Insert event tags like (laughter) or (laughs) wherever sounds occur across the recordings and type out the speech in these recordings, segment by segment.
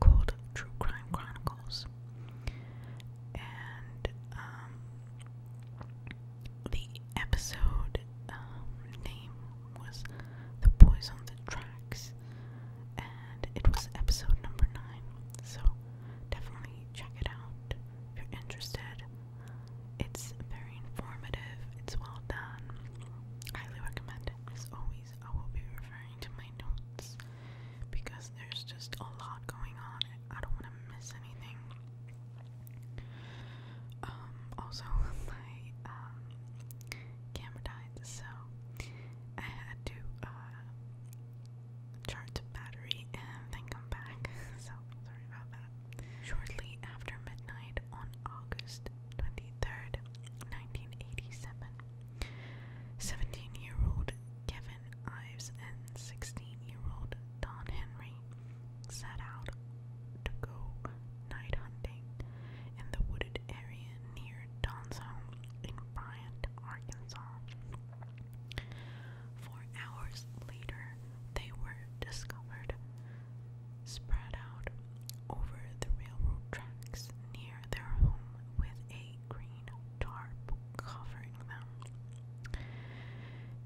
called True Crime Chronicles. And um, the episode um, name was The Boys on the Tracks, and it was episode number 9. So definitely check it out if you're interested. It's very informative, it's well done. Highly recommend it. As always, I will be referring to my notes because there's just a lot going on I don't want to miss anything. Um, also, (laughs) my um, camera died, so I had to uh, charge the battery and then come back. (laughs) So, sorry about that. Shortly after midnight on August 23rd, 1987, 17-year-old Kevin Ives and 16-year-old Don Henry set out to go night hunting in the wooded area near Don's home in Bryant, Arkansas. Four hours later, they were discovered spread out over the railroad tracks near their home with a a green tarp covering them.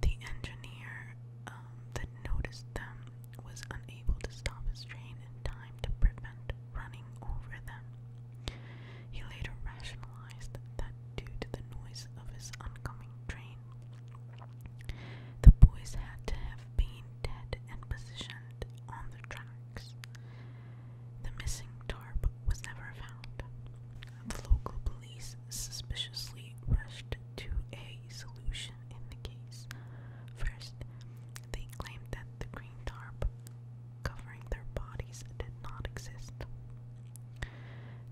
The engineer um, that noticed them was unable to stop his train in time to prevent running over them. He later rationalized that due to the noise of his oncoming train, the boys had to have been dead and positioned on the tracks. The missing tarp was never found. The local police suspiciously rushed to a solution in the case. First, they claimed that the green tarp covering their bodies did not exist.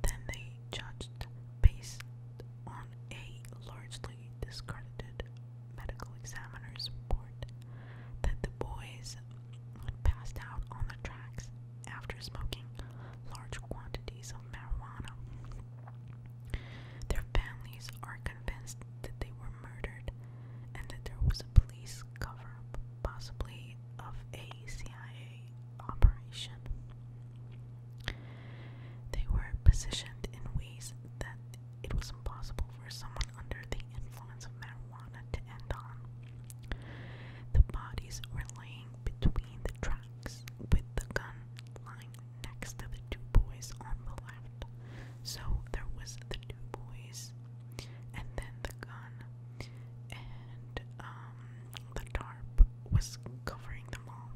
Then they judged based on a largely discarded medical examiner's report that the boys had passed out on the tracks after smoking large quantities of marijuana. Their families are convinced that they were murdered and that there was a police cover up, possibly of a CIA operation. They were positioned in ways that it was impossible for someone under the influence of marijuana to end on. The bodies were laying between the tracks, with the gun lying next to the two boys on the left. So there was the two boys, and then the gun, and um, the tarp was covering them all.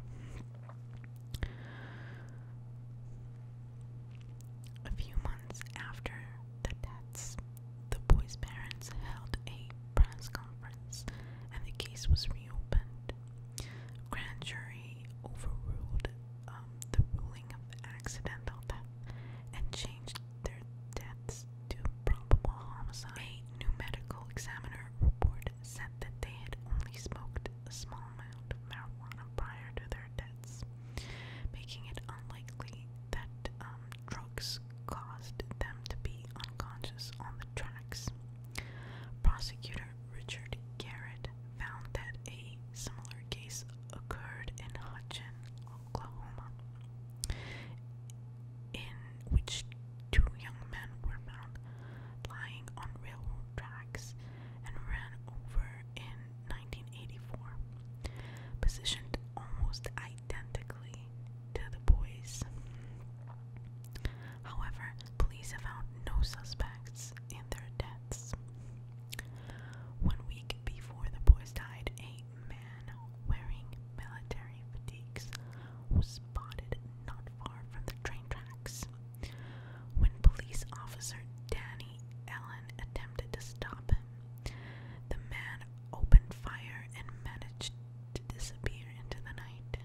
A few months after the deaths, the boy's parents held a press conference and the case was reopened. A grand jury overruled um, the ruling of accidental death and changed their deaths to probable homicide. A new medical examiner report said that they had only smoked a small amount of marijuana prior to their deaths making it unlikely that um, drugs caused them to be unconscious on the tracks. Prosecutor Richard Garrett found that a similar case occurred in Hutchin, Oklahoma, in which two young men were found lying on railroad tracks and ran over in 1984, positioned almost identically to the boys. However, police have found no suspects in their deaths. One week before the boys died, a man wearing military fatigues was spotted not far from the train tracks. When police officer Danny Allen attempted to stop him, the man opened fire and managed to disappear into the night.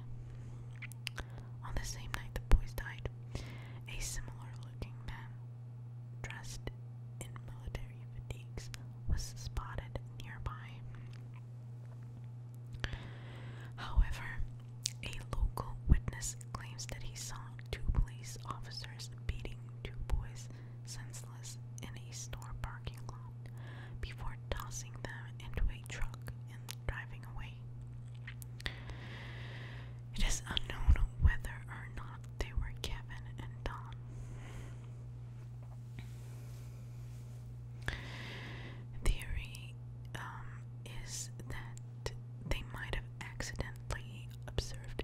On the same night the boys died, a similar looking man dressed in military fatigues was spotted nearby. However, a local witness claims that he saw two police officers beating two boys senseless in a store parking lot before tossing them into a truck and driving away. It is unknown whether or not they were Kevin and Don. Theory um, is that they might have accidentally observed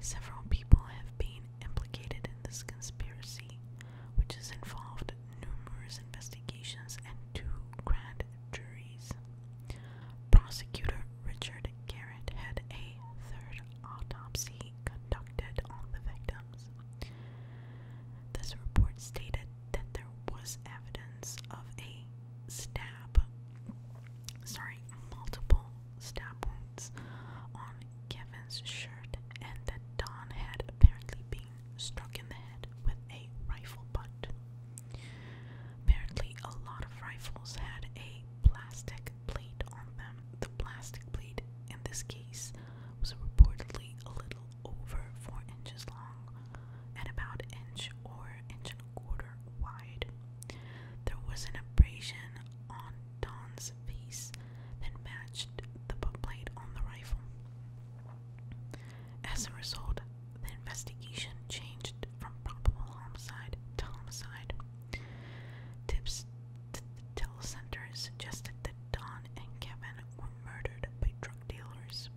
Several people have been implicated in this conspiracy, which has involved numerous investigations and two grand juries. Prosecutor Richard Garrett had a third autopsy conducted on the victims. This report stated that there was evidence of a stab sorry, multiple stab wounds on Kevin's shirt, and that Don had apparently been struck in the head with a rifle butt. Apparently, a lot of rifles had a plastic plate on them. The plastic plate, in this case, was reportedly a little over four inches long and about inch or inch quarter wide. There was an abrasion on Don's face that matched the butt plate on the rifle. As a result, the investigation changed from probable homicide to homicide. Tips to the telecenter suggested that Don and Kevin were murdered by drug dealers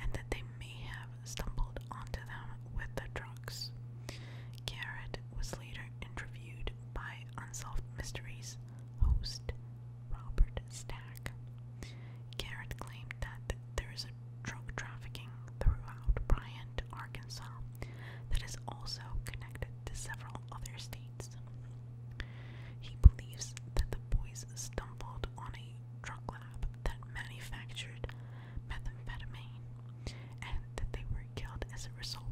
and that they may have stumbled onto them with the trucks. Garrett was later interviewed by Unsolved Mysteries host Robert Stack. Garrett claimed that there is a drug trafficking throughout Bryant, Arkansas, that is also connected to several other states. He believes that the boys stumbled on a drug lab that manufactured methamphetamine, and that they were killed as a result.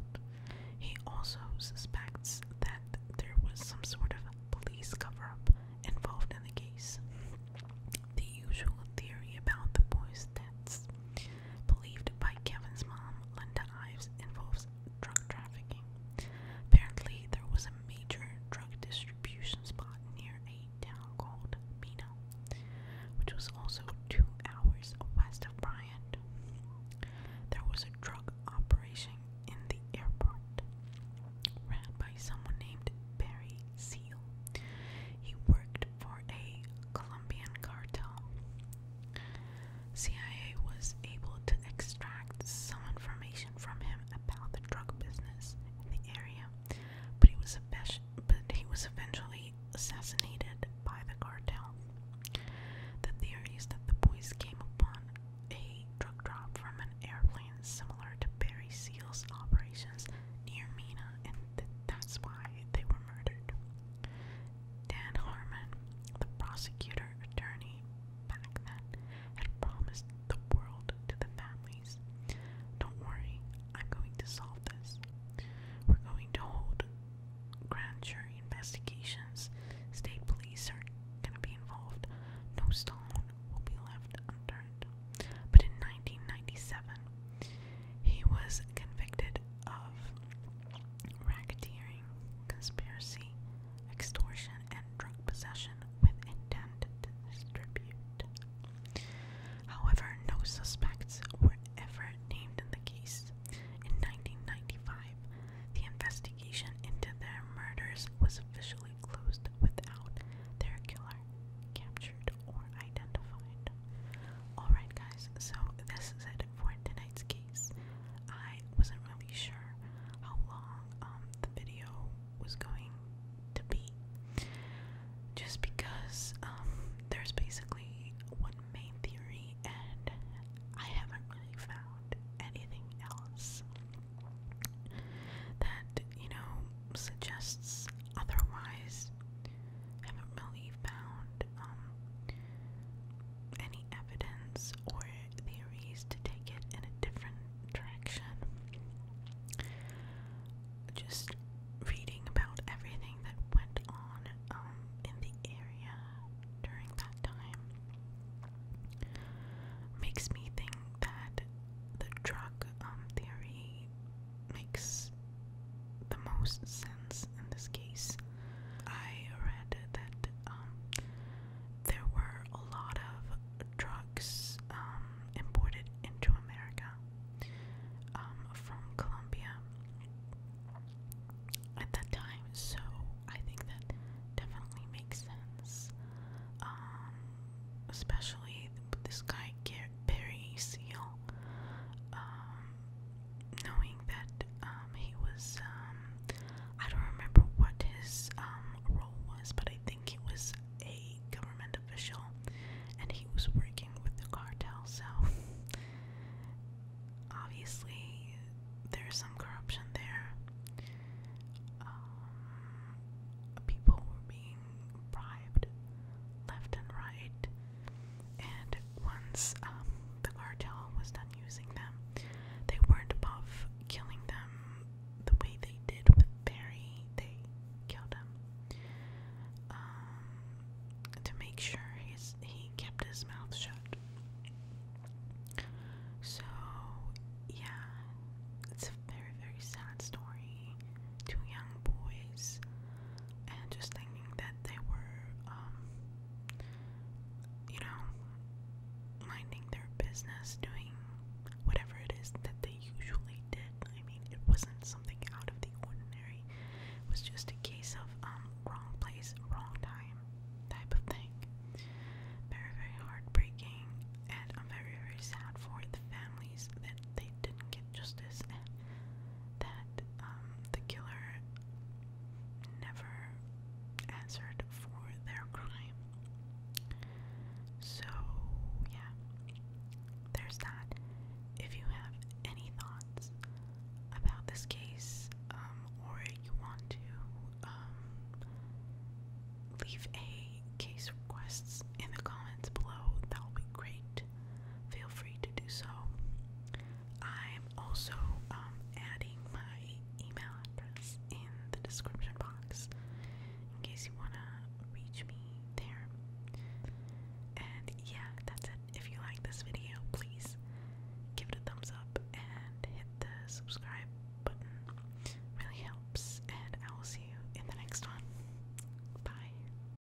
He also suspects that there was some sort of police cover up involved in the case. The usual theory about the boys' deaths, believed by Kevin's mom, Linda Ives, involves drug trafficking. Apparently, there was a major drug distribution spot near a town called Mino, which was also two hours west of Bryant. There was a drug operation in the airport, ran by someone named Barry Seal. He worked for a Colombian cartel. CIA was able to extract some information from him about the drug business in the area but he was eventually assassinated by the cartel. The theory is that the boys came upon a drug drop from an airplane similar to Barry Seal's operations near Mina, and that's why they were murdered. Dan Harmon, the prosecutor attorney back then, had promised the world to the family don't worry, I'm going to solve this. We're going to hold grand jury investigations. State police are going to be involved. No stone will be left unturned. But in 1997, he was convicted of racketeering, conspiracy, extortion, and drug possession with intent to distribute. However, no suspects were ever named in the case. In 1995, the investigation into their murders was officially closed without their killer captured or identified. Alright, guys, so this is it for tonight's case. I wasn't really sure how long um, the video was going to be. Just because um, there's basically one main theory, and I haven't really found anything else that, you know, suggests otherwise. Haven't really found um, any evidence or theories to take it in a different direction just reading about everything that went on um, in the area during that time makes me think that the drug um, theory makes the most sense in this case. I read that um, there were a lot of drugs um, imported into America America um, from Colombia at that time, so I think that definitely makes sense. Um, especially this guy, Barry Seal, um, knowing that um, he was, um, I don't remember what his um, role was, but I think it was a government official and he was working with the cartel, so obviously there's some corruption there. Um, people were being bribed left and right, and once um, the cartel was done using them, they weren't above killing them the way they did with Barry. They killed him um, to make sure his he kept his mouth shut. So yeah, it's a very very sad story. Two young boys, and just thinking that they were, um, you know, minding their business, doing whatever it is that they usually did. I mean, it wasn't something out of the ordinary. It was just a case of um wrong place, wrong time type of thing. Very, very heartbreaking, and I'm very, very sad for the families that they didn't get justice and that um the killer never answered for their crime. So yeah there's that. If you have any thoughts about this case, um, or you want to um, leave a case requests in the comments below, that'll be great. Feel free to do so. I'm also um, adding my email address in the description box in case you want to reach me there. And yeah, that's it. If you like this video, please give it a thumbs up and hit the subscribe button. Really helps. And I will see you in the next one. Bye.